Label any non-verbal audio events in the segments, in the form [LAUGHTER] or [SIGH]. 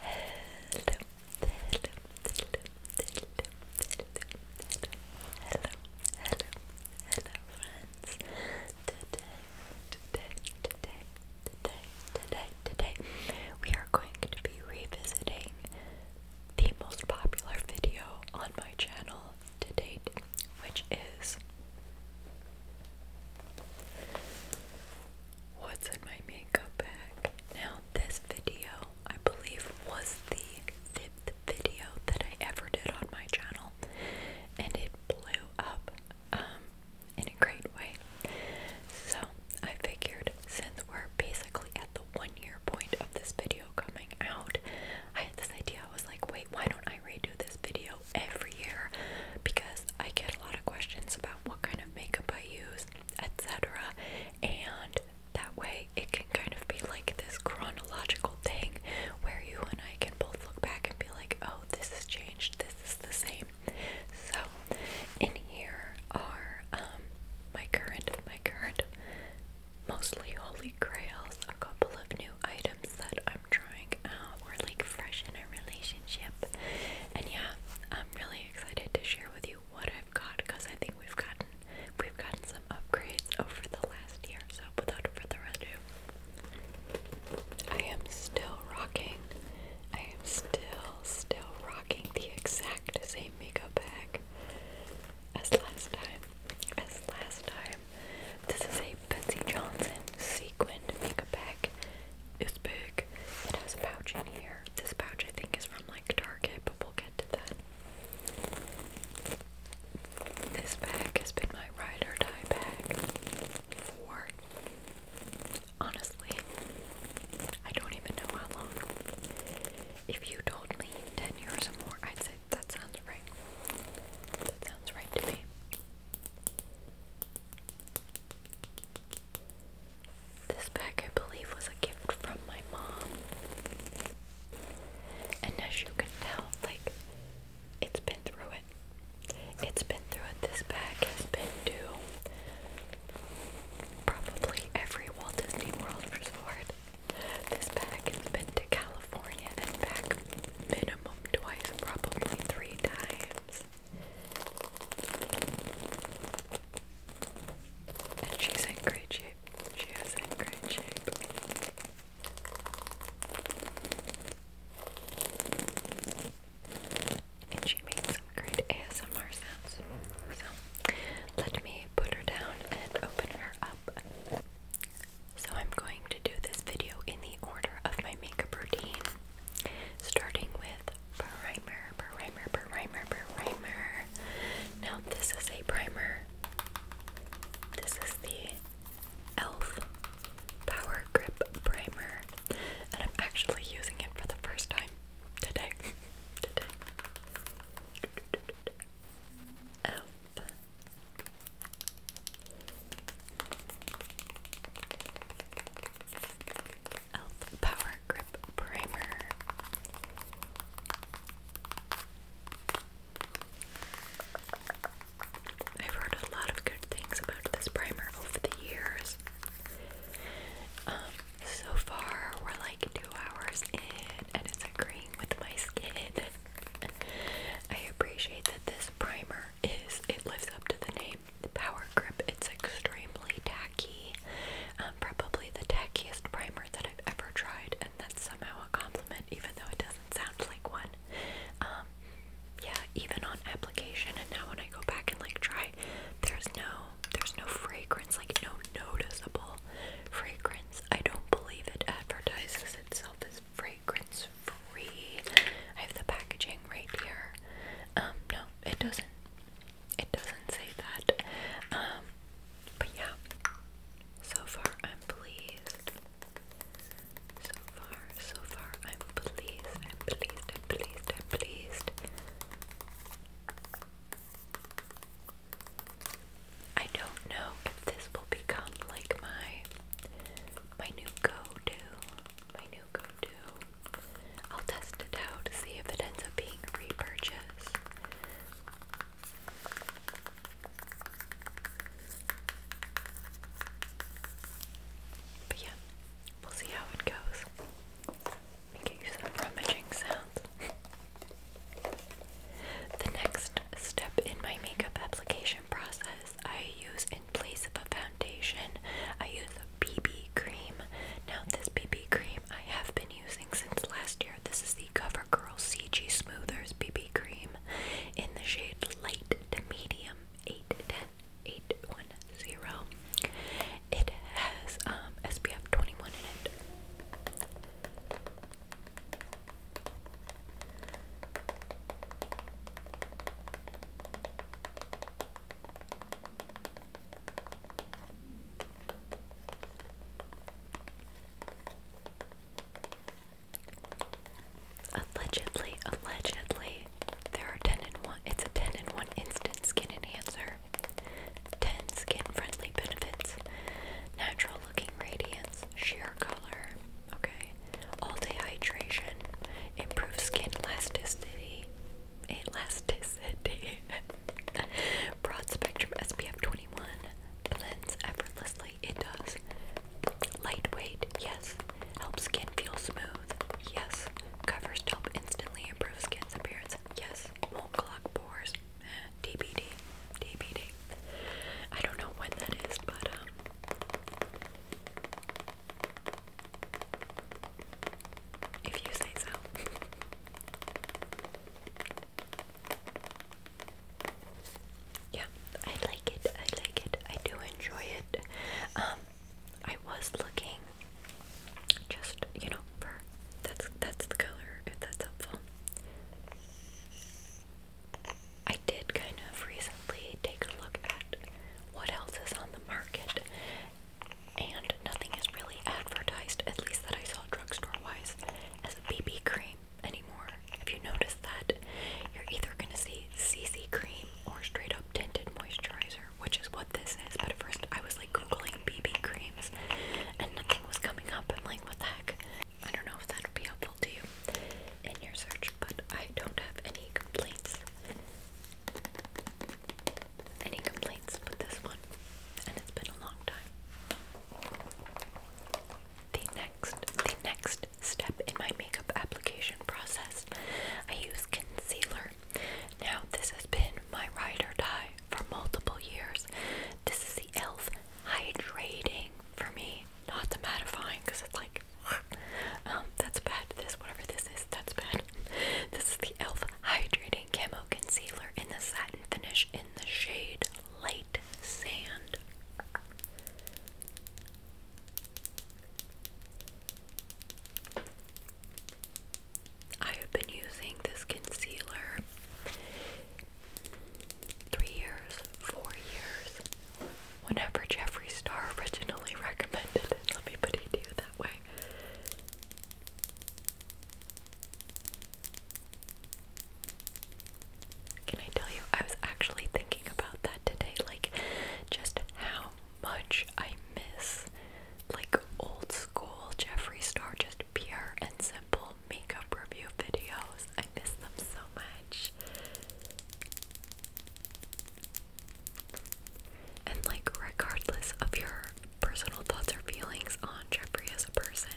today, today, we are going to be revisiting the most popular video on my channel to date, which is what's in my makeup bag. Now, this video, I believe, was the fifth video that I ever did on my channel, and it blew up um, in a great way. So, I figured since we're basically at the one year point of this video coming out, I had this idea. I was like, wait, why don't I redo this video every year? Because I get a lot of questions about what kind of makeup I use etc. And that way it can kind of be like this chronological thing where you and I can both look back and be like, oh, this has changed, this is the same. So in here are um my current my current mostly holy grails, a couple of new items that I'm trying out. We're like fresh in a relationship. And yeah, I'm really excited to share with you what I've got because I think we've gotten we've gotten some upgrades over the last year. So without further ado, I am still rocking. I am still still rocking the exact same makeup bag as last time. As last time, this is a Betsy Johnson sequined makeup bag is big. It has a pouch in here. This pouch I think is from like Target, but we'll get to that. This bag has been my ride or bag for honestly, I don't even know how long. If you told me 10 years or more, I'd say that sounds right. That sounds right to me. This bag, I believe, was a gift from my mom. And as you can tell, like, it's been through it. It's been through it. This bag has been to probably every Walt Disney World resort. This bag has been to California and back minimum twice, probably three times. And she's in great shape. She has a great shape. And she made some great ASMR sounds. So let me put her down and open her up. So I'm going to do this video in the order of my makeup routine, starting with primer, primer, primer, primer. Now this is a primer. This is the e.l.f. Power Grip Primer. And I'm actually using it for the first time today. [LAUGHS] today. Elf e.l.f. Power Grip Primer. I've heard a lot of good things about this primer over the years. Um, so far, we're like two hours in, and it's agreeing with my skin. [LAUGHS] I appreciate that this primer is, it lives up to the name. Power Grip. It's extremely tacky, um, probably the tackiest primer that I've ever tried, and that's somehow a compliment, even though it doesn't sound like one. Um, yeah, even on application, and now when I go back and like try, there's no, there's no fragrance, like no noticeable fragrance. I don't believe it advertises itself as fragrance free. I have the packaging right here. Um, no, it doesn't it doesn't say that. Um, but yeah, so far I'm pleased. So far, so far I'm pleased. I'm pleased. I'm pleased. I'm pleased. I don't know if this will become like my my new go-to, my new do. I'll test it out, to see if it ends up being repurchased. But yeah, we'll see how it goes. Making some rummaging sounds. the next step in my makeup application process I use in place of a foundation, I use BB cream. Now this BB cream I have been using since last year. This is the CoverGirl CG Smoothers BB cream in the shade light to medium 810 It has um, SPF 21 in it. Allegedly, allegedly, there are 10 in 1, it's a 10 in 1 instant skin enhancer. 10 skin friendly benefits. Natural looking radiance, sheer color, okay. All day hydration, improved skin elasticity, elasticity. [LAUGHS] Broad spectrum SPF 21 blends effortlessly. It does. Lightweight, yes. Helps skin feel smooth, yes. Covers top instantly, improves skin's appearance, yes. Won't clog pores, [SIGHS] DBD, DBD. I don't know when that is, but um, if you say so. yeah, I like it. I like it. I do enjoy it. Um, I was looking just, you know, that's that's the color, if that's helpful. I did kind of recently take a look at what else is on the market and nothing is really advertised, at least that I saw drugstore wise, as a BB cream anymore. If you notice that, you're either going to see CC cream or straight up tinted moisturizer, which is what this is. But at first, I was like googling BB creams and nothing was coming up. I'm like, what the heck? I don't know if that would be helpful to you in your search, but I don't have any complaints any complaints with this one, and it's been a long time. The next, the next step in my makeup application process, I use concealer. Now, this has been my ride or die for multiple years. This is the e.l.f. hydrating for me, not the mattifying because it's like, [LAUGHS] um, that's bad. This, whatever this is, that's bad. [LAUGHS] This is the e.l.f. hydrating. Illuminating Concealer in the Satin Finish in the shade Light Sand. I have been using this concealer three years, four years, whenever Jeffree Star originally [LAUGHS] recommended it. Let me put it to that way. Can I tell you, I was actually thinking about that today, like just how much I miss like old school Jeffree Star, just pure and simple makeup review videos. I miss them so much. And like regardless of your personal thoughts or feelings on Jeffrey as a person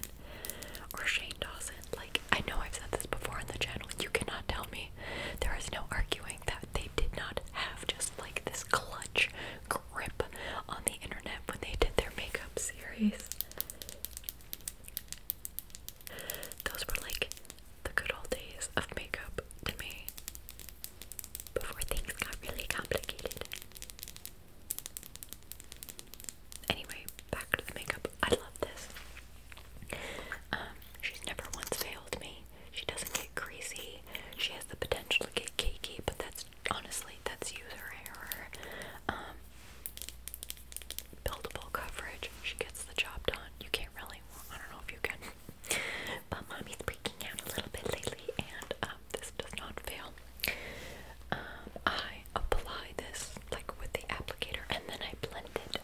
or Shane Dawson. Like, I know I've said this before on the channel, you cannot tell me there is no arguing that they did not have just like this clutch grip on the internet when they did their makeup series. Those were like the good old days of makeup to me before things got really complicated. Anyway, back to the makeup. I love this. Um, she's never once failed me. She doesn't get greasy. She has the potential to get cakey, but that's honestly that's user error. Um, buildable coverage. She gets the job done. You can't really. I don't know if you can. But mommy's breaking out a little bit lately, and this does not fail. Um, I apply this like with the applicator and then I blend it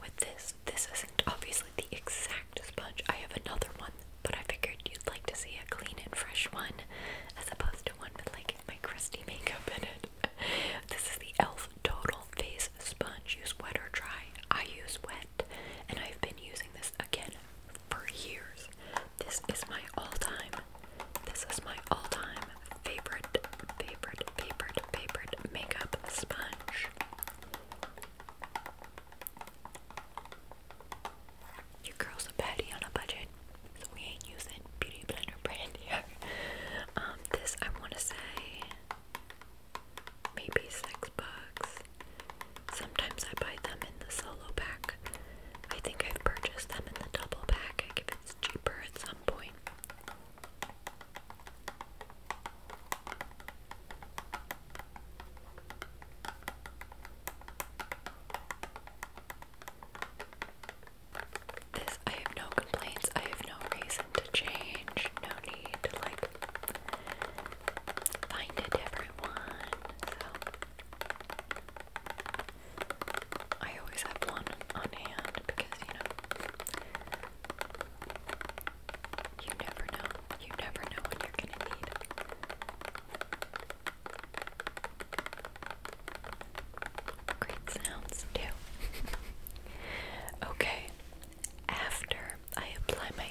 with this. This isn't obviously the exact sponge. I have another one, but I figured you'd like to see a clean and fresh one as opposed to one with like my crusty makeup in it. [LAUGHS] this is the e.l.f. Total Face Sponge. Use wet or dry. I use wet, and I've been using this again for years. This is my all-time, this is my all-time favorite, favorite, favorite, favorite makeup sponge. Your girl's a patty on a budget, so we ain't using Beauty Blender brand here. Um, this I want to say maybe six bucks. Sometimes I buy them in the solo pack. I think I've purchased them in the double pack if it's cheaper at some point. This, I have no complaints, I have no reason to change, no need to like find a different one. So I always have one on hand because you know you never know. You never know when you're gonna need. Great sounds too. [LAUGHS] okay. After I apply my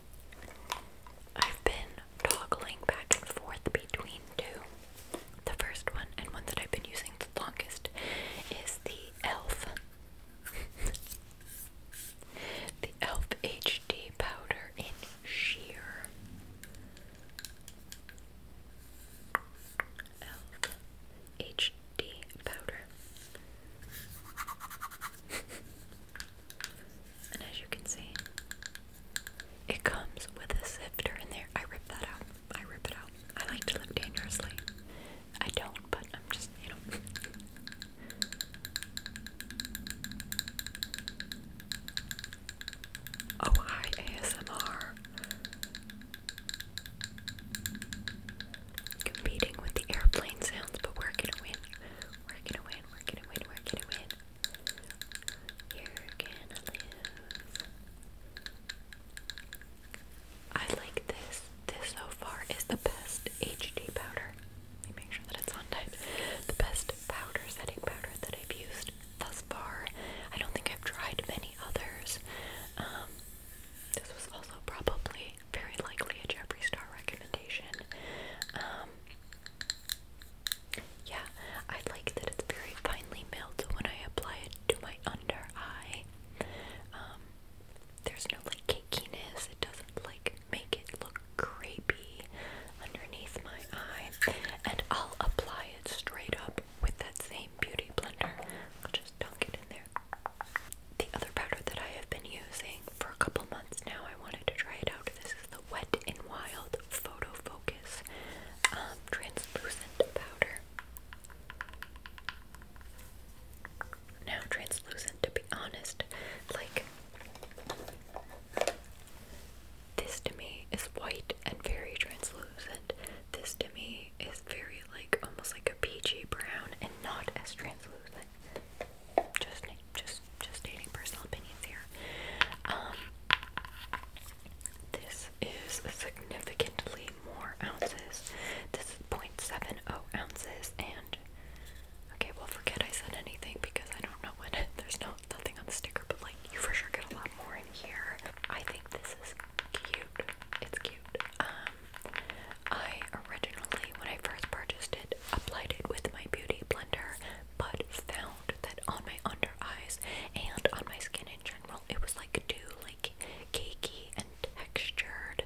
I've been toggling back and forth between two. The first one, and one that I've been using the longest, is the e.l.f. the e.l.f. HD powder in sheer. e.l.f. HD powder. [LAUGHS] And as you can see, it comes with a sifter in there. I rip that out. I rip it out. I like to live dangerously. I don't, but I'm just, you know. Oh, hi, ASMR. Competing with the airplane sounds, but we're gonna win. We're gonna win, we're gonna win, we're gonna win. You're gonna lose. I like this. This so far is the best HD powder. Let me make sure that it's on type. The best powder, setting powder that I've used thus far. I don't think I've tried many others. Um, this was also probably very likely a Jeffree Star recommendation. Um, yeah, I like that it's very finely milled when I apply it to my under eye. Um, there's no like cakiness, it doesn't like make it look creepy underneath my eye. And I'll apply it straight up with that same beauty blender. I'll just dunk in there the other powder that I have been using for a couple months now. I wanted to try it out. This is the Wet n Wild Photo Focus um, Translucent Powder. Now, translucent, to be honest, like this to me is white and very translucent. This to me is very, like, almost like a peachy brown and not as translucent but just just just stating personal opinions here. Um, this is significantly more ounces. This is 0.70 ounces, and okay, well, forget I said anything because I don't know what. [LAUGHS] There's no nothing on the sticker, but like you for sure get a lot more in here. I think this is cute. It's cute. Um, I originally, when I first purchased it, applied it with my beauty blender, but found that on my under eyes and on my skin in general, it was like too like cakey and textured,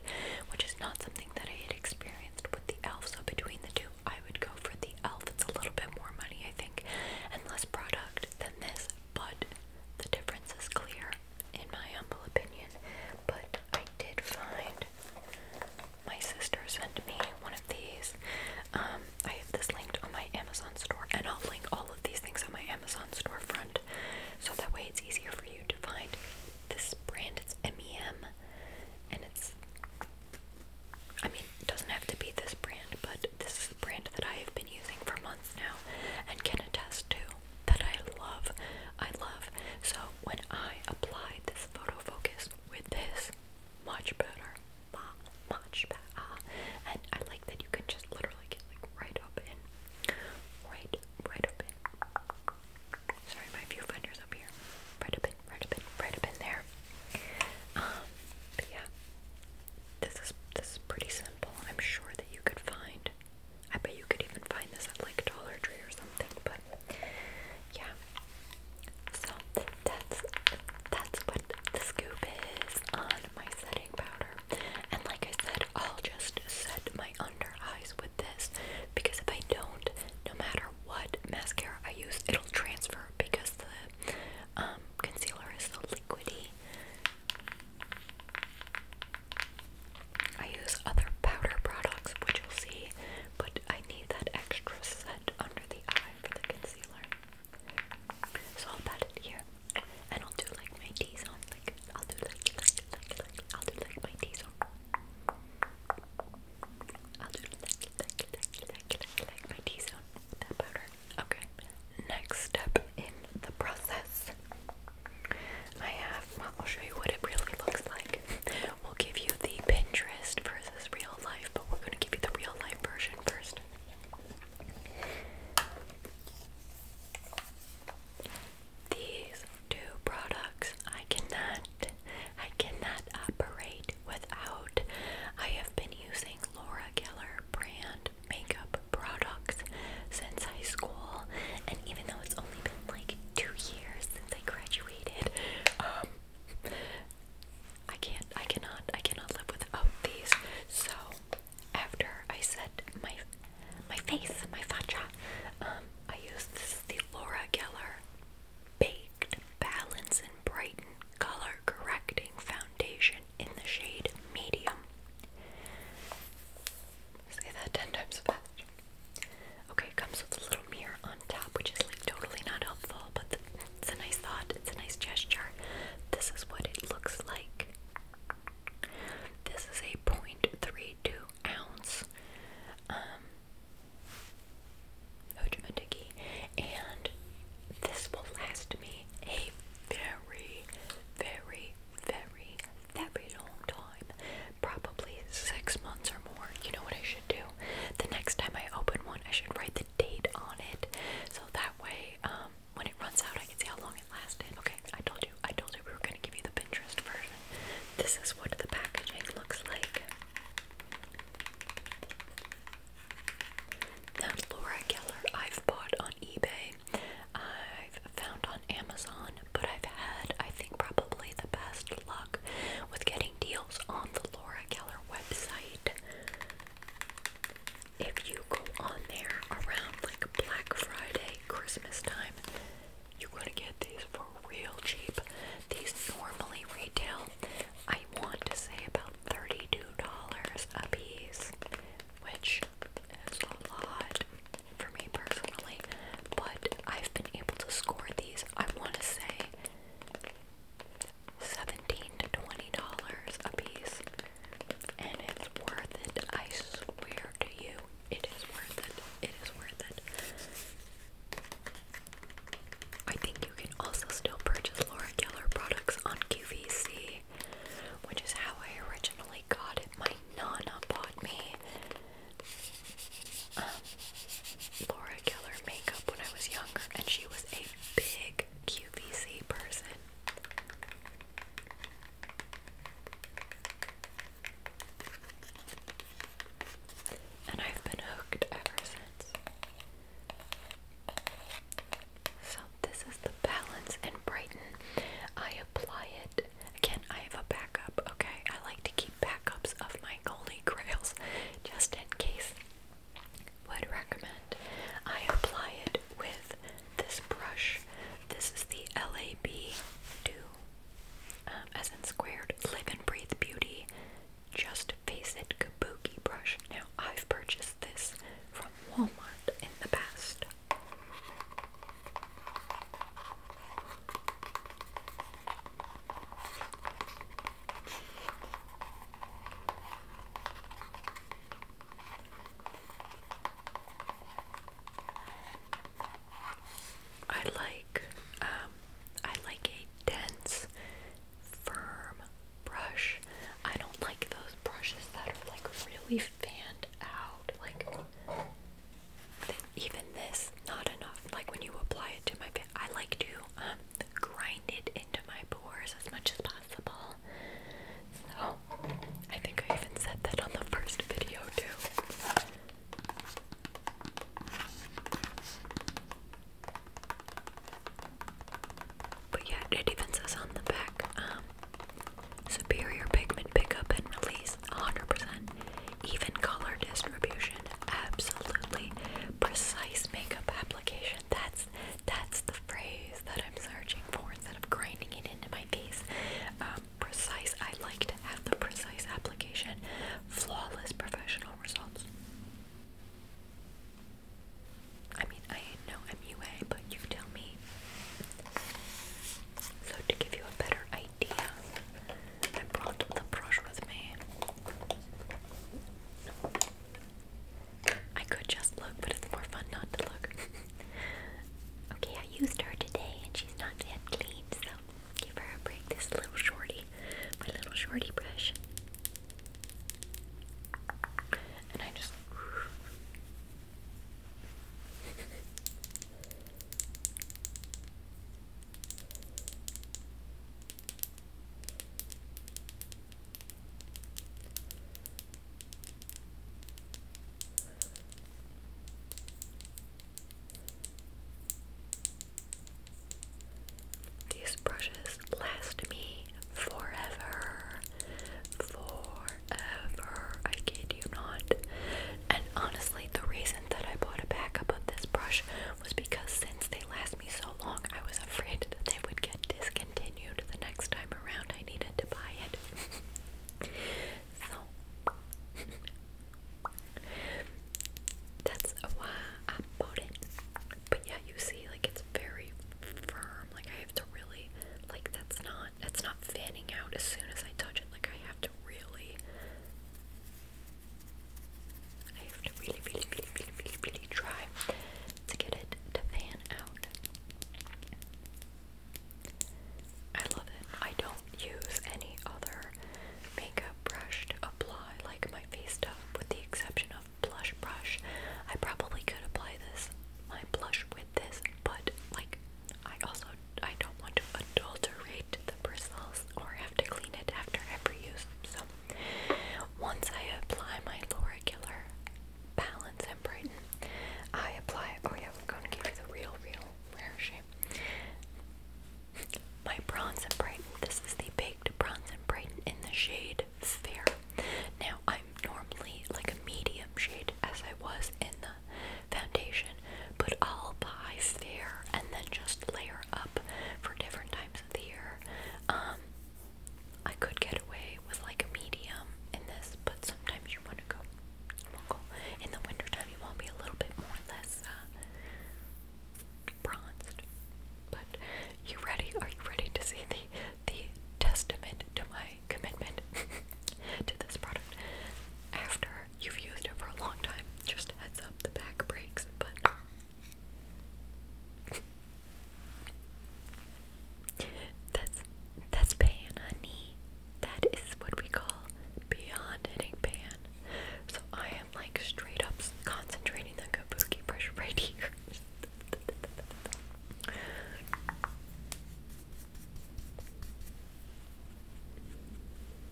which is not something that I had experienced with the elf. So between the two, I would go for the elf. It's a little bit more money, I think, and less product than this, but the difference is clear in my humble opinion. But I did find my sister sent me one of these. Um, I have this linked on my Amazon store, and I'll link all of these things on my Amazon storefront so that way it's easier for you to find this brand. It's MEM, and it's I mean, it doesn't have to be this brand, but this is the brand that I have been using for months now and can attest to that I love. I love. So when I apply this photo focus with this. Much better. Much better. Uh, and I like that you can just literally get like right up in. Right, right up in. Sorry, my viewfinder's up here. Right up in, right up in, right up in there. Um, but yeah. This is this is pretty simple. I'm sure that you could find I bet you could even find this at like Dollar Tree or something, but yeah. So that's that's what the scoop is on my setting powder. And like I said, I'll just set my under eyes with this because if I don't, no matter what mascara I use, it'll transfer because the um, concealer is so liquidy. I use other powder products, which you'll see, but I need that extra set under the eye for the concealer. So I'll pat it here, and I'll do like my T zone. Like I'll do like like like like I'll do like my T zone. I'll do like like like like my T zone that powder. Okay. Next step in the process. I have. I'll show you what it really looks like. We'll give you the Pinterest versus real life, but we're gonna give you the real life version first. These two products I cannot I cannot operate without. I have been using Laura Geller brand makeup products since high school and even though it's only been like two years since I graduated, um, I can't, I cannot, I cannot live without these. So after I set my my face, my facha, um, I used this is the Laura Geller Baked Balance and Brighten Color Correcting Foundation in the shade Medium. Say that ten times faster. Okay, comes with a little mirror on top, which is like totally not helpful, but it's a nice thought, it's a nice gesture. This is what it looks like. This is a point three two ounce um, Hojimatiki, and this will last me a very, very, very, very long time probably six months or more. You know what I should do? The next time I open one, I should write the date on it, so that way, um, when it runs out, I can see how long it lasted. Okay, I told you, I told you we were gonna give you the Pinterest version. This is what the packaging looks like. Now, Laura Keller, I've bought on eBay. I've found on Amazon, but I've had, I think, probably the best luck with getting deals on the Laura Keller website. If you go on there around like Black Friday, Christmas time, you're gonna get these for real cheap. These normally retail, I want to say about $32 a piece, which is a lot for me personally, but I've been able to score these, I want to say seventeen to twenty dollars a piece, and it's worth it. I swear to you, it is worth it. It is worth it. I think you can also still purchase Laura Geller products on QVC, which is how I originally got it. My Nana bought me um, Laura Keller makeup when I was younger, and she was a big QVC person. And I've been hooked ever since. So, this is the Balance and Brighten. I apply it. Again, I have a backup, okay? I like to keep backups of my holy grails just in case. Would recommend. I apply it with this brush. This is the LAB Do, um, as in squared, Live and Breathe Beauty, Just Face It Kabuki brush. Now, I've purchased this from Walmart in the past. I like um I like a dense firm brush. I don't like those brushes that are like really fanned out. Like even this, not enough. Like when you apply it to my I like to um, grind it into my pores as much as possible. So, I think I even said that on the first video too. But yeah, it even says on the back um, superior pigment pickup and release 100%, even color distribution absolutely precise makeup application. That's that's the phrase that I'm searching for instead of grinding it into my face. Um, precise. I like to have the precise application, flawless professional results. I mean, I know I'm but you tell me. So to give you a better idea I brought the brush with me. I could just look, but it's more fun not to look. [LAUGHS] okay, I used her today and she's not yet clean, so give her a break. This little shorty, my little shorty brush. And I just. These brushes last me forever. Forever. I kid you not. And honestly, the reason that I bought a backup of this brush was because since they last me so long, I was afraid that they would get discontinued the next time around I needed to buy it. [LAUGHS] so, that's why I bought it. But yeah, you see, like, it's very firm. Like, I have to really, like, that's not, that's not fanning out as soon as I touch it. Like, I have to really I have to really, really, really, really, really, really try to get it to fan out. I love it. I don't use any other makeup brush to apply like my face stuff, with the exception of blush brush. I probably could apply this, my blush with this, but like I also I don't want to adulterate the bristles or have to clean it after every use. So once I apply my Lauricular Balance and Brighten, I apply. Oh, yeah, we're gonna give you the real, real rare shape. My Bronze Brighten. This is the Baked Bronze Brighten in the shade Fair. Now, I'm normally like a medium shade as I was in the foundation, but I'll buy Fair and then just layer up for different times in um, I could get away with like a medium in this, but sometimes you want to go, go. In the wintertime, you want to a little bit more less uh, bronzed. But you ready? Are you ready to see the the testament to my commitment [LAUGHS] to this product? After you've used it for a long time, just heads up the back breaks, but that's that's pan, honey. That is what we call beyond hitting pan. So I am like straight up concentrating the kabuki brush [LAUGHS] right here.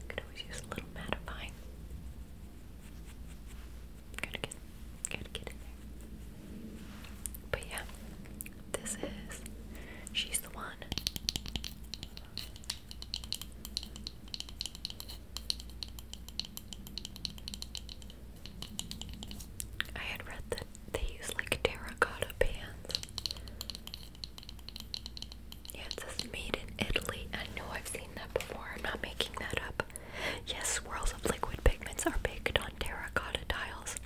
Could always use a little mattifying. Gotta get, gotta get in there. But yeah, this is. She's the one. I had read that they use like terracotta pans. Yeah, it made in Italy. I know I've seen that before. I'm not making that up. Yes, swirls of liquid pigments are baked on terracotta tiles.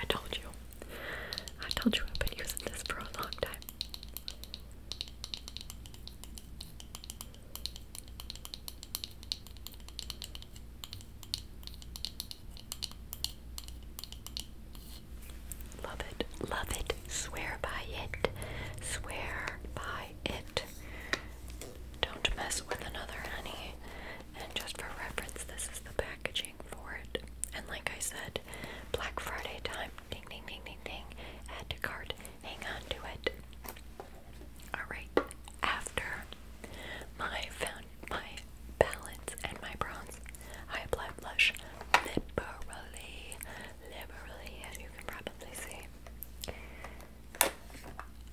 I told you. I told you I've been using this for a long time. Love it, love it, swear by it, swear by it. Don't mess with another honey. And just for reference, this is the packaging for it. And like I said, Black Friday time, ding ding ding ding ding, add to cart, hang on to it. Alright, after my found my balance and my bronze, I applied blush liberally, liberally, as you can probably probably see.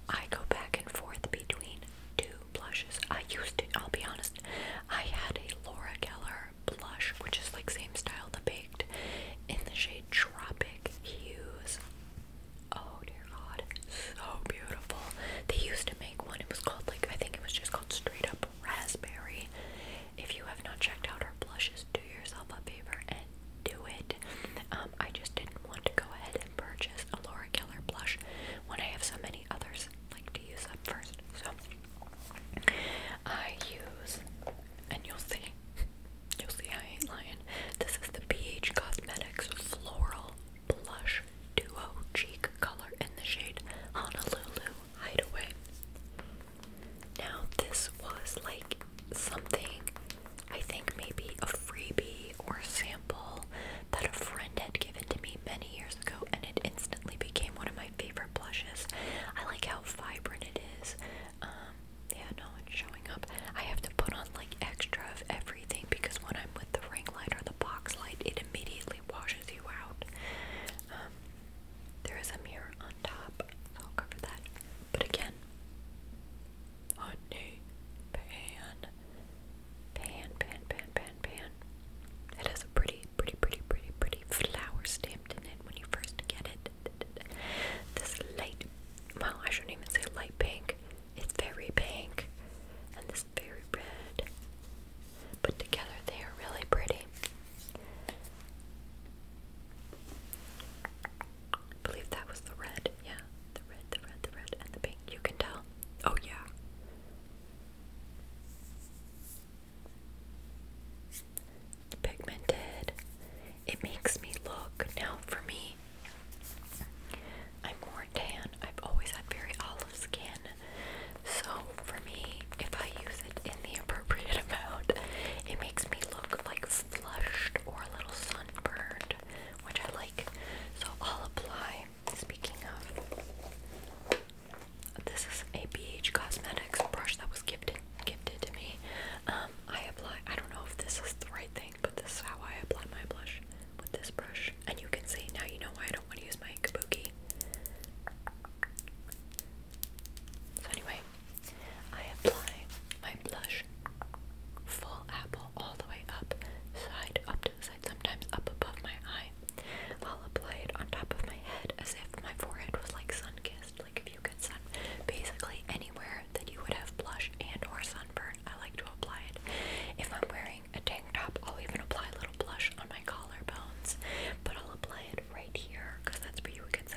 I go back and forth between two blushes. I used to, I'll be honest, I had a Laura Geller blush, which is like same style, the baked, in the shade Tropic Hues. Oh dear God, so beautiful. They used to make one, it was called like, I think it was just called Straight Up Raspberry. If you have not checked out her blushes, do yourself a favor and do it. Um, I just didn't want to go ahead and purchase a Laura Keller blush when I have so many others like to use up first. So I use, and you'll see, [LAUGHS] you'll see I ain't lying. This is the BH Cosmetics Floral Blush Duo Cheek Color in the shade Honolulu Hideaway. Now, this was like something I think maybe a freebie or sample that a friend had given to me many years ago, and it instantly became one of my favorite blushes. I like how vibrant it is. Um, yeah, no one's showing up. I have to put on like extra of everything because when I'm with the ring light or the box light, it immediately washes you out. Um, there is a mirror on top, so I'll cover that. But again, honey, pan, pan, pan, pan, pan, pan. It has a pretty, pretty, pretty, pretty, pretty flower stamped in it when you first get it. This light, well, I shouldn't even say light pink. It's very pink, and this very red. But together they are really pretty. I believe that was the red. Yeah, the red, the red, the red, and the pink. You can tell. Oh, yeah. Pigmented. It makes me look. Now, for me, I'm more tan. I've always had very olive skin. So, for me, if I use it in the appropriate amount. It makes me look like flushed or a little sunburned, which I like. So I'll apply. Speaking of, this is a BH Cosmetics brush that was gifted gifted to me. Um, I apply. I don't know if this is the right thing, but this is how I apply my blush with this brush. And you can see now. You know why I don't want to use my Kabuki. So anyway, I apply my blush full apple all the way up, side up to the side, sometimes up above my eye. I'll apply it on top of my head as if my forehead was like sun-kissed, like if you get sun basically anywhere that you would have blush and or sunburn, I like to apply it. If I'm wearing a tank top, I'll even apply a little blush on my collarbones, but I'll apply it right here because that's where you would get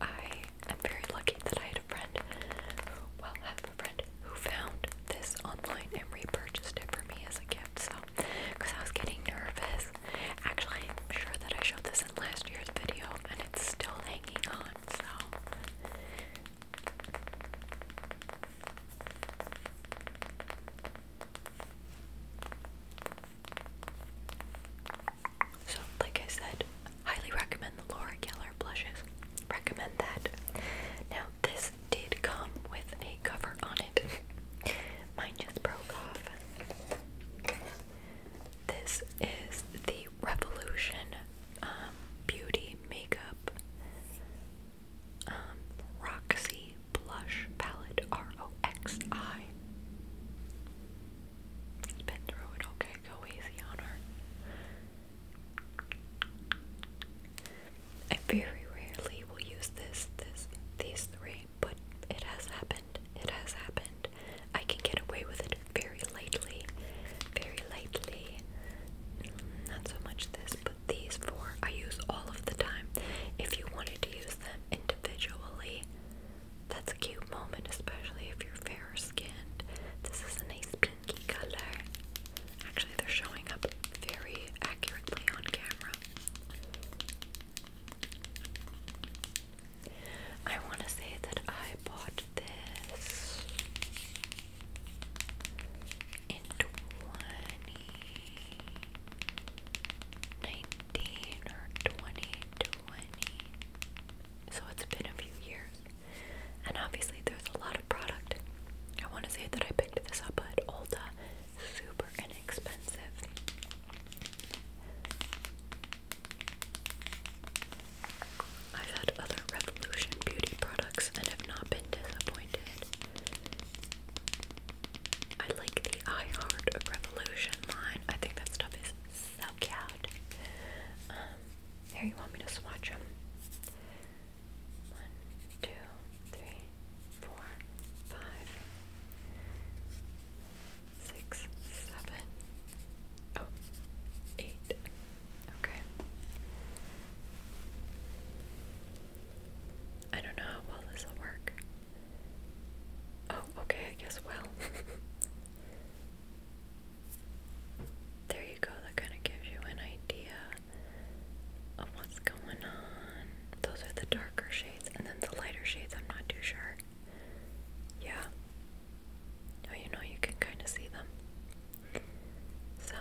I am very lucky that I had a friend, well, have a friend who found this online and repurchased it for me as a gift. So, because I was getting nervous. Actually, I'm sure that I showed this in last year's video and it's still hanging on. So, so, like I said, highly recommend the Laura Geller blushes. Recommend that. Now, this did come with a cover on it. [LAUGHS] Mine just broke off. This is the Revolution um, Beauty Makeup um, Roxy Blush Palette, R-O-X-I. Been through it, okay, go easy on her. I very rarely will use this, this, these three, but it has happened. It has happened. I can get away with it very lightly, very lightly. Not so much this, but these four I use all of the time. If you wanted to use them individually, that's a cute moment, especially if you're fair skinned. This is a nice pinky color. Actually, they're showing up very accurately on camera. I want to say that I bought this and twenty nineteen or twenty twenty. So it's been a few years. And obviously there's a lot of product. I wanna say that I picked this up at Ulta. Super inexpensive. I've had other Revolution Beauty products and have not been disappointed. I like the I Heart Revolution line. I think that stuff is so cute. Um, here, you want me to swatch them? One, two, three, four, five, six, seven, oh, eight. Okay. I don't know how well this will work. Oh, okay, I guess well. [LAUGHS] there you go, that kind of gives you an idea of what's going on. Those are the darker shades, and then the lighter shades, I'm not too sure. Yeah. Oh, you know, you can kind of see them. So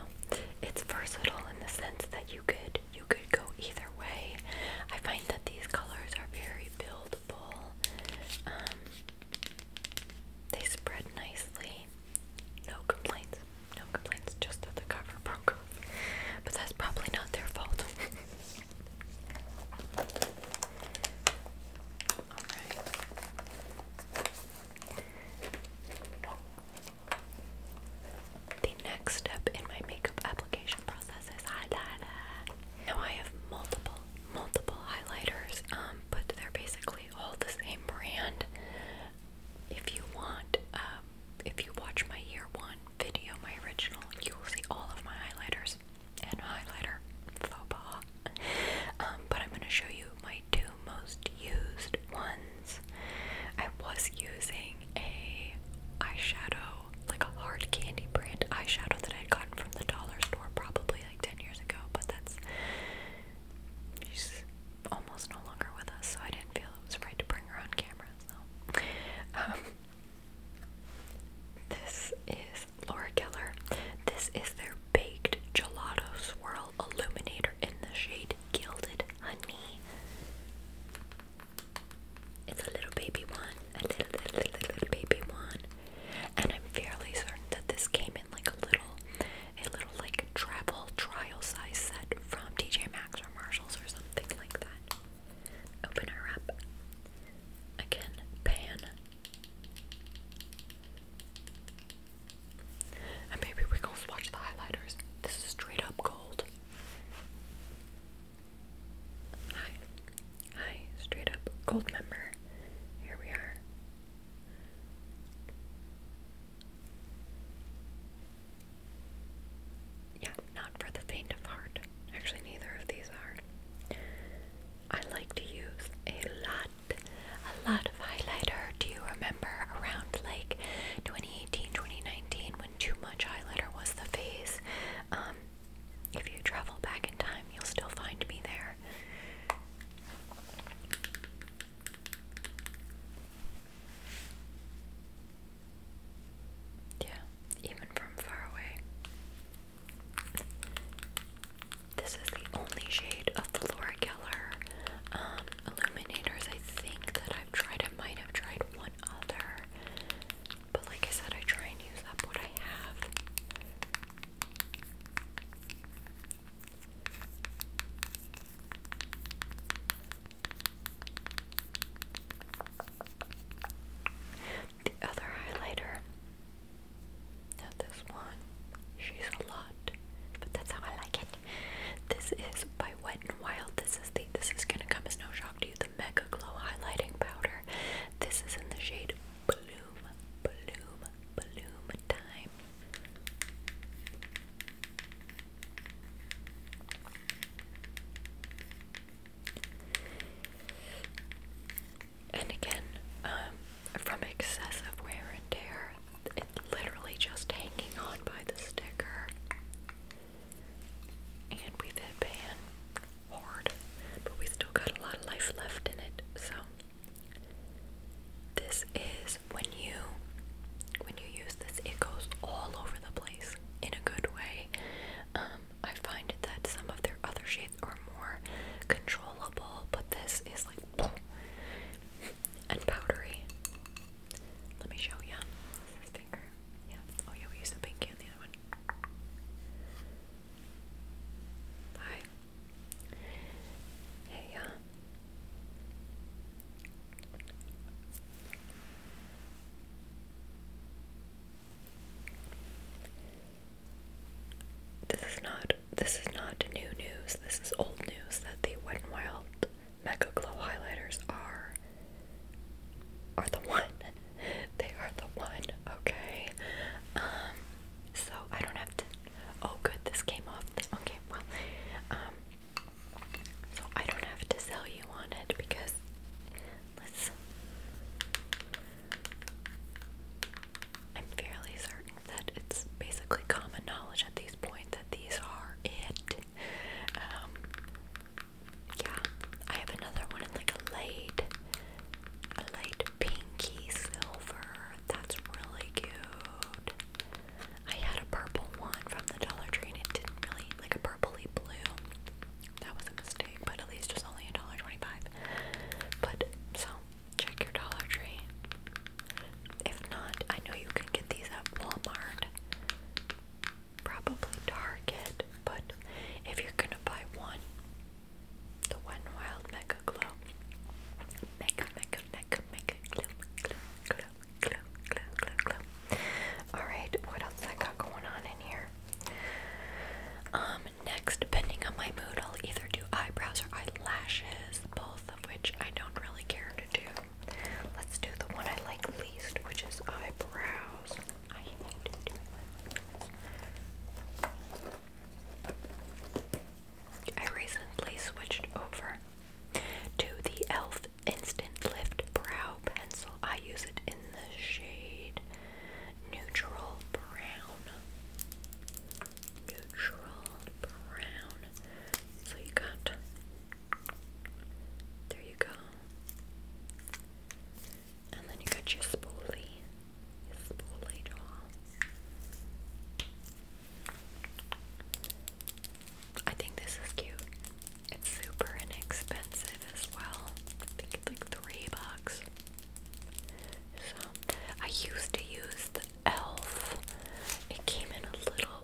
it's versatile in the sense that you could you could go either way. I find that these colors are very buildable. Um, they spread nicely. No complaints. No complaints. Just that the cover broke. But that's probably not their fault. [LAUGHS] Alright. The next step in my makeup application process is highlighter. Now I have multiple, multiple highlighters, um, but they're basically all the same brand. If you want, um, if you watch my year one video, my original, you will see all of my highlighters and highlighter faux pas. Um, but I'm going to show you my two most used ones. I was using a eyeshadow, like a hard candy brand eyeshadow that I had gotten from the dollar store probably like 10 years ago, but that's she's almost no longer with us, so I didn't feel it was right to bring her on camera. So um, this is Laura Keller. This is their baked gelato swirl Illuminator in the shade Gilded Honey. It's a little baby one, a little, little, little baby one, and I'm fairly certain that this came in like a little, a little like travel trial size set from TJ Maxx or Marshalls or something like that. Open her up. Again, pan. And maybe we're gonna swatch the highlighters. This is straight up gold. Hi. Hi, straight up gold member. Here we are. Yeah, not for the faint of heart. Actually, neither of these are. I like to use a lot, a lot of highlighter. Do you remember around like 20, 2019, when too much highlighter was the phase. Um, if you travel back in time, you'll still find me there. Yeah, even from far away. This is the only shade of the Laura Geller um, illuminators I think that I've tried. I might have tried one other. But like I said, I try and use up what I have. The other highlighter, not this one, she's a lot, but that's how I like it. This is by Wet n Wild. This is the this is gonna come as no shock to you. The Mega Glow highlighting powder. This is in the shade Bloom, Bloom, Bloom Time. And again, um, from excessive wear and tear, literally just hanging on by the sticker. And we've hit pan hard, but we still got a lot of life left in it. So this is when you when you use this, it goes all over the place in a good way. Um, I find that some of their other shades are more controllable, but this is like and powdery. Let me show you. Yeah. Oh yeah, we use the pinky on the other one. Hi. Hey, yeah. This is not this is not new news. This is old news that the Wet n Wild Mecca Glow highlighters are are the one. [LAUGHS] They are the one, okay? Um, so I don't have to oh good, this came off. Okay, well, um so I don't have to sell you on it because I'm fairly certain that it's basically common knowledge at this point that these are it. Um, yeah, I have another one in like a light, a light pinky silver. That's really cute. I had a purple one from the Dollar Tree, and it didn't really like a purpley blue. That was a mistake, but at least it was only a dollar twenty-five. But so check your Dollar Tree. If not, I know you can get these at Walmart, probably Target, but if you're gonna buy one, the One Wild Mega Glow. Mega, mega, mega, mega glow, glow, glow, glow, glow, glow, glow. Alright, what else I got going on in here? Um, next, depending on my mood, I'll either do eyebrows or eyelashes, both of which I don't really care to do. Let's do the one I like least, which is eyebrows. I hate doing my eyebrows. I recently switched over to the e.l.f. Instant Lift Brow Pencil. I use it in the shade Neutral Brown. Neutral brown. So you got there you go. And then you got your spoolie, your spoolie doll. I think this is cute. It's super inexpensive as well. I think it's like three bucks. So I used to use the elf. It came in a little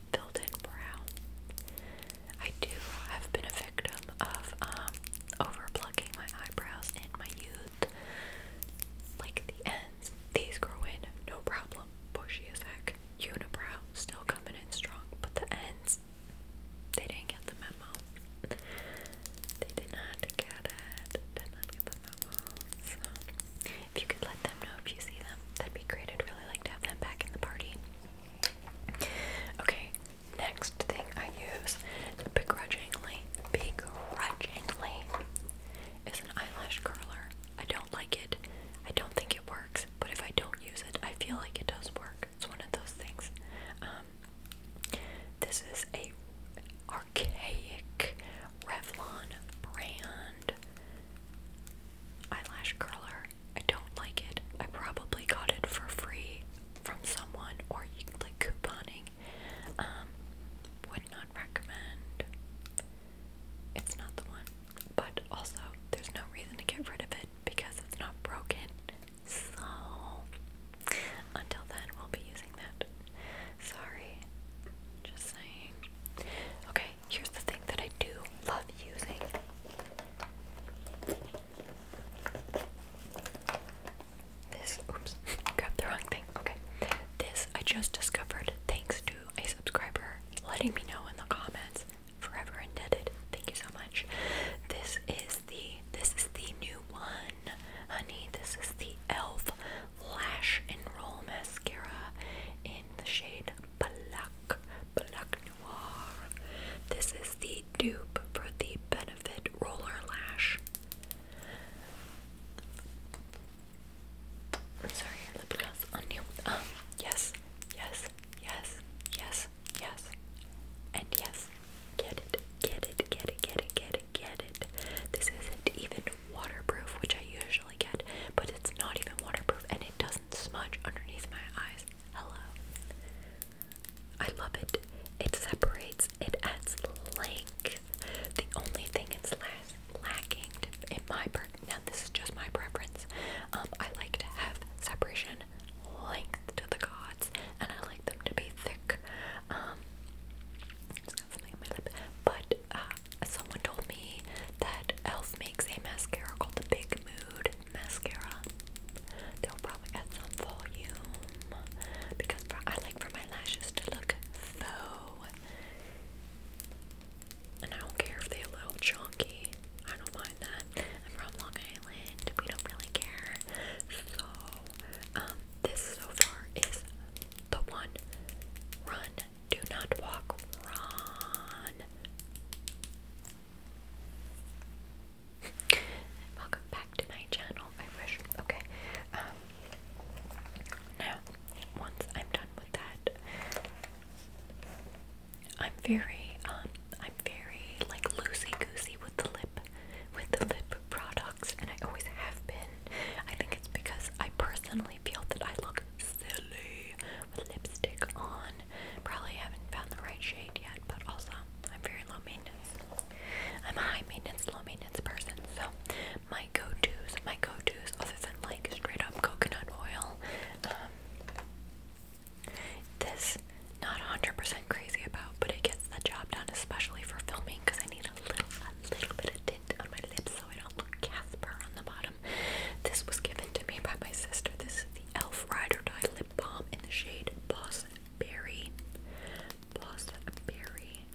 filled in brown. I do have been a victim of um, over plucking my eyebrows in my youth. Like the ends, these grow in, no problem. Bushy as heck. Unibrow, still coming in strong, but the ends, they didn't get the memo. They did not get it. Did not get the memo. If you could let them know if you see them, that'd be great. I'd really like to have them back in the party. Okay, next thing I use begrudgingly, begrudgingly, is an eyelash curler. I don't like it. I don't think it works, but if I don't use it, I feel like it does work. It's one of those things. Um, this is a archaic Revlon brand eyelash curler. I don't like it. I probably got it for free from someone or you like couponing. Um, would not recommend. It's not the one. But also, there's no reason to get rid of it because it's not broken. So, until then, we'll be using that. Sorry. Just saying. Okay, Here's the thing that I do love using. This, oops, [LAUGHS] grabbed the wrong thing. Okay. This I just discovered thanks to a subscriber letting me know in the comments. Forever indebted. Thank you so much. This is the this is the new one, honey. This is the Elf Lash and Roll Mascara in the shade Black, Black Noir. This is the dupe for the Benefit Roller Lash. I'm sorry, lip gloss on you. Um, yes, yes, yes, yes, yes, and yes. Get it, get it, get it, get it, get it, get it. This isn't even waterproof, which I usually get, but it's not even waterproof and it does smudge underneath my eyes. Hello. I love it. It separates, it adds length. The only thing it's lacking in my now this is just my preference. Um, I like to have separation length to the gods, and I like them to be thick. Um, something in my lip, but uh, someone told me that e.l.f. makes a mascara called the Big Mood Mascara. They'll probably add some volume because I like for my lashes to look faux. And I don't care if they're a little chunky. I don't mind that. I'm from Long Island. We don't really care. So, um, this so far is the one. Run do not walk, Ron. [LAUGHS] Welcome back to my channel. I wish. Okay. Um, now, once I'm done with that, I'm very, um, I'm very like loosey goosey with the lip, with the lip products, and I always have been. I think it's because I personally feel that I look silly with lipstick on. Probably haven't found the right shade yet, but also I'm very low maintenance. I'm a high maintenance, low maintenance person, so my go-tos, my go-tos, other than like straight up coconut oil, um, this not 100% crazy about, but it gets the job done, especially for filming, because I need a little, a little bit of tint on my lips so I don't look Casper on the bottom. This was given to me by my sister. This is the Elf Ride or Die Lip Balm in the shade Boston Berry. Boston Berry.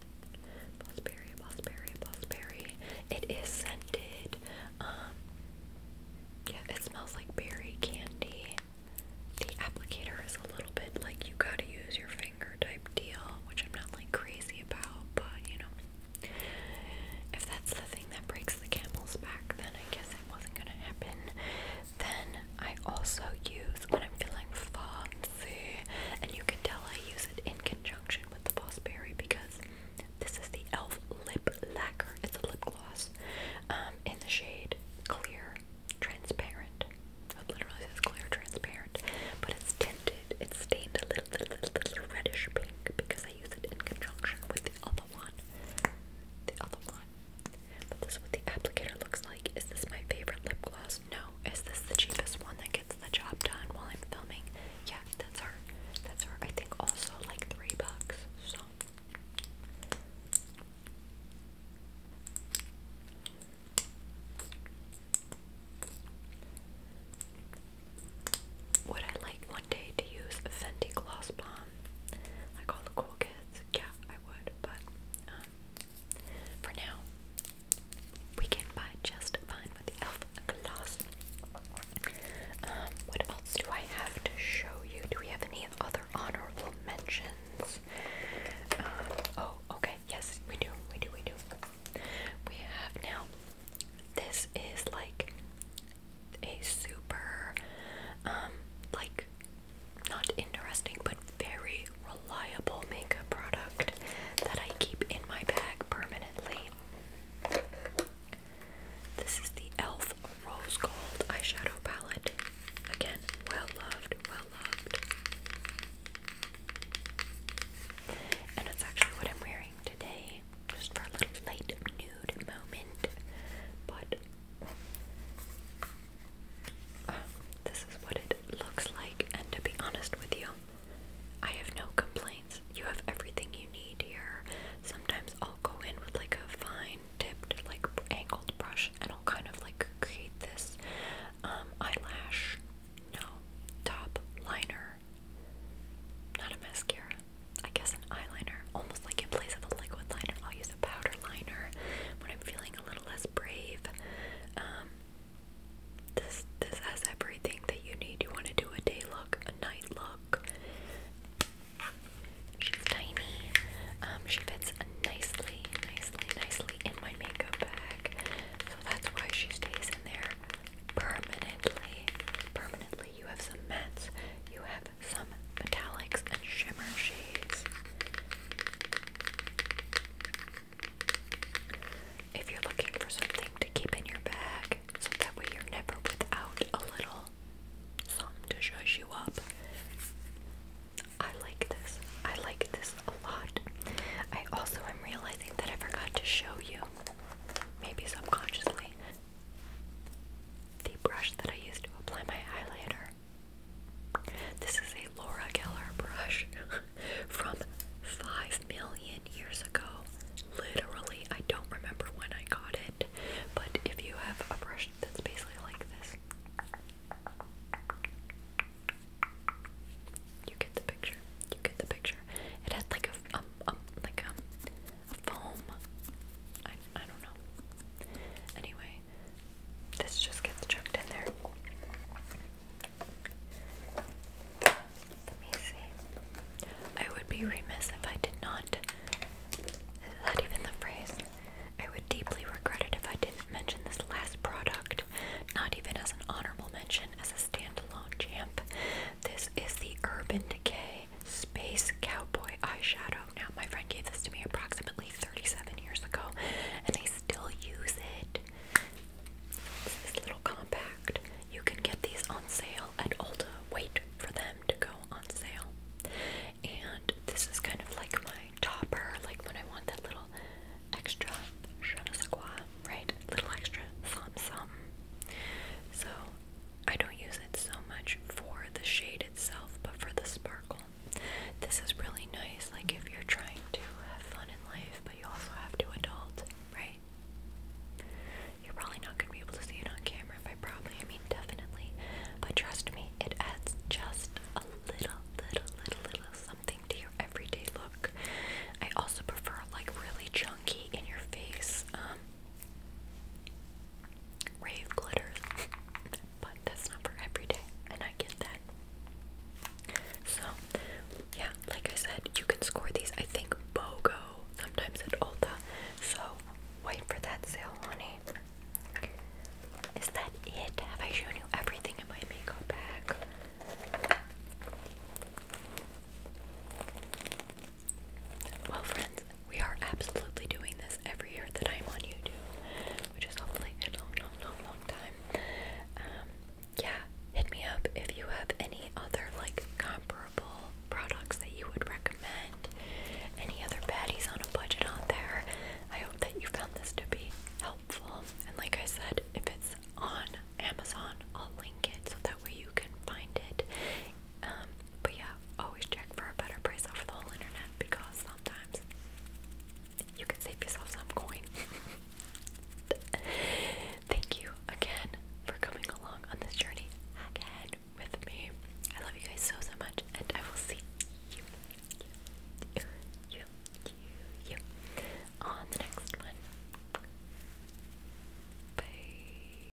Boston Berry, Boston Berry, Boss Berry. It is scented. Um, yeah, it smells like berry candy. The applicator is a little bit like you gotta use your finger type deal, which I'm not like crazy about, but you know. If that's the thing that breaks the camel's back, then I guess it wasn't gonna happen. Then I also use when I'm feeling fancy, and you can tell I use it in conjunction with the Bossberry because this is the e.l.f. lip lacquer. It's a lip gloss um, in the shade clear, transparent. It literally says clear, transparent, but it's tinted. It's stained a little, little, little reddish pink because I use it in conjunction with the other one. The other one. But this is what the applicator looks like. Is this my favorite lip gloss? No. Is this the cheapest one that gets the job done while I'm filming? Yeah, that's her. That's her. I think also like three bucks. So would I like one day to use Fenty Gloss Bomb? Like all the cool kids? Yeah, I would, but um, for now, we can buy just fine with the e.l.f. gloss. Um, what else do I have to show you? Do we have any other honorable mentions? Um, oh, okay, yes, we do, we do, we do. We have now, this is like a super, um, like, not interesting, but very reliable makeup product that I keep in my bag permanently. This is the e.l.f. Rose Gold Eyeshadow Palette. Again, well loved, well loved. And it's actually what I'm wearing today just for a little light nude moment. But uh, this is what it looks like, and to be honest with you, I have no complaints. You have everything you need here. Sometimes I'll go in with like a fine tipped, like angled brush, and I'll kind of like create this um, eyelash, no, top liner not a mascara. I guess an eyeliner. Almost like in place of a liquid liner, I'll use a powder liner when I'm feeling a little less brave. Um, this this has everything that you need. You want to do a day look, a night look. She's tiny. Um, she fits nicely, nicely, nicely in my makeup bag. So that's why she stays in there permanently. Permanently. You have some mattes, you have some metallics and shimmer shades. If you're looking for something to keep in your bag, so that way you're never without a little something to show you up. I like this. I like this a lot. I also am realizing that I forgot to show you, maybe subconsciously, the brush that I use to apply my highlighter. This is a Laura Geller brush [LAUGHS] from 5 million years ago. Literally, I don't remember when I got it, but if you have a brush that's basically like this, you get the picture. You get the picture. It has like a um, um like um foam. I, I don't know. Anyway, this just gets chucked in there. Let me see. I would be remiss if I did not. Is that even the phrase? I would deeply regret it if I didn't mention this last product, not even as an honorable mention, as a standalone champ. This is the Urban Decay Space Cowboy eyeshadow. Now, my friend gave this to me approximately 37 years ago, and they still use it. It's this little compact. You can get these on sale at Ulta. Wait for them to go on sale. And this is kind of like my topper, like when I want that little extra je ne right? Little extra something, something. So I don't use it so much for the shade itself, but for the sparkle. This is really nice, like if you're trying to have fun in life, but you also have to adult, right? You're probably not going to be able to see it on camera, by probably, I mean definitely. But trust me, it adds just a little, little, little, little something to your everyday look. I also prefer like really chunky in your face. Um, rave glitter, [LAUGHS] but that's not for every day, and I get that. So, yeah, like I said, you can score these, I think, BOGO, sometimes at Ulta. So, wait for that sale, honey. Is that it? Have I shown you everything in my makeup bag? Well, friends, we are absolutely doing this every year that I'm on YouTube, which is hopefully a long, long, long, time. Um, yeah, hit me up if you have any other like comparable products that you would recommend. Any other baddies on a budget out there? I hope that you found this to be helpful. And like I said, if it's on Amazon, I'll link it so that way you can find it. Um, but yeah, always check for a better price over the whole internet because sometimes you can save yourself some coin. [LAUGHS] Thank you again for coming along on this journey again with me. I love you guys so so much, and I will see you, you, you, you, you on the next one. Bye.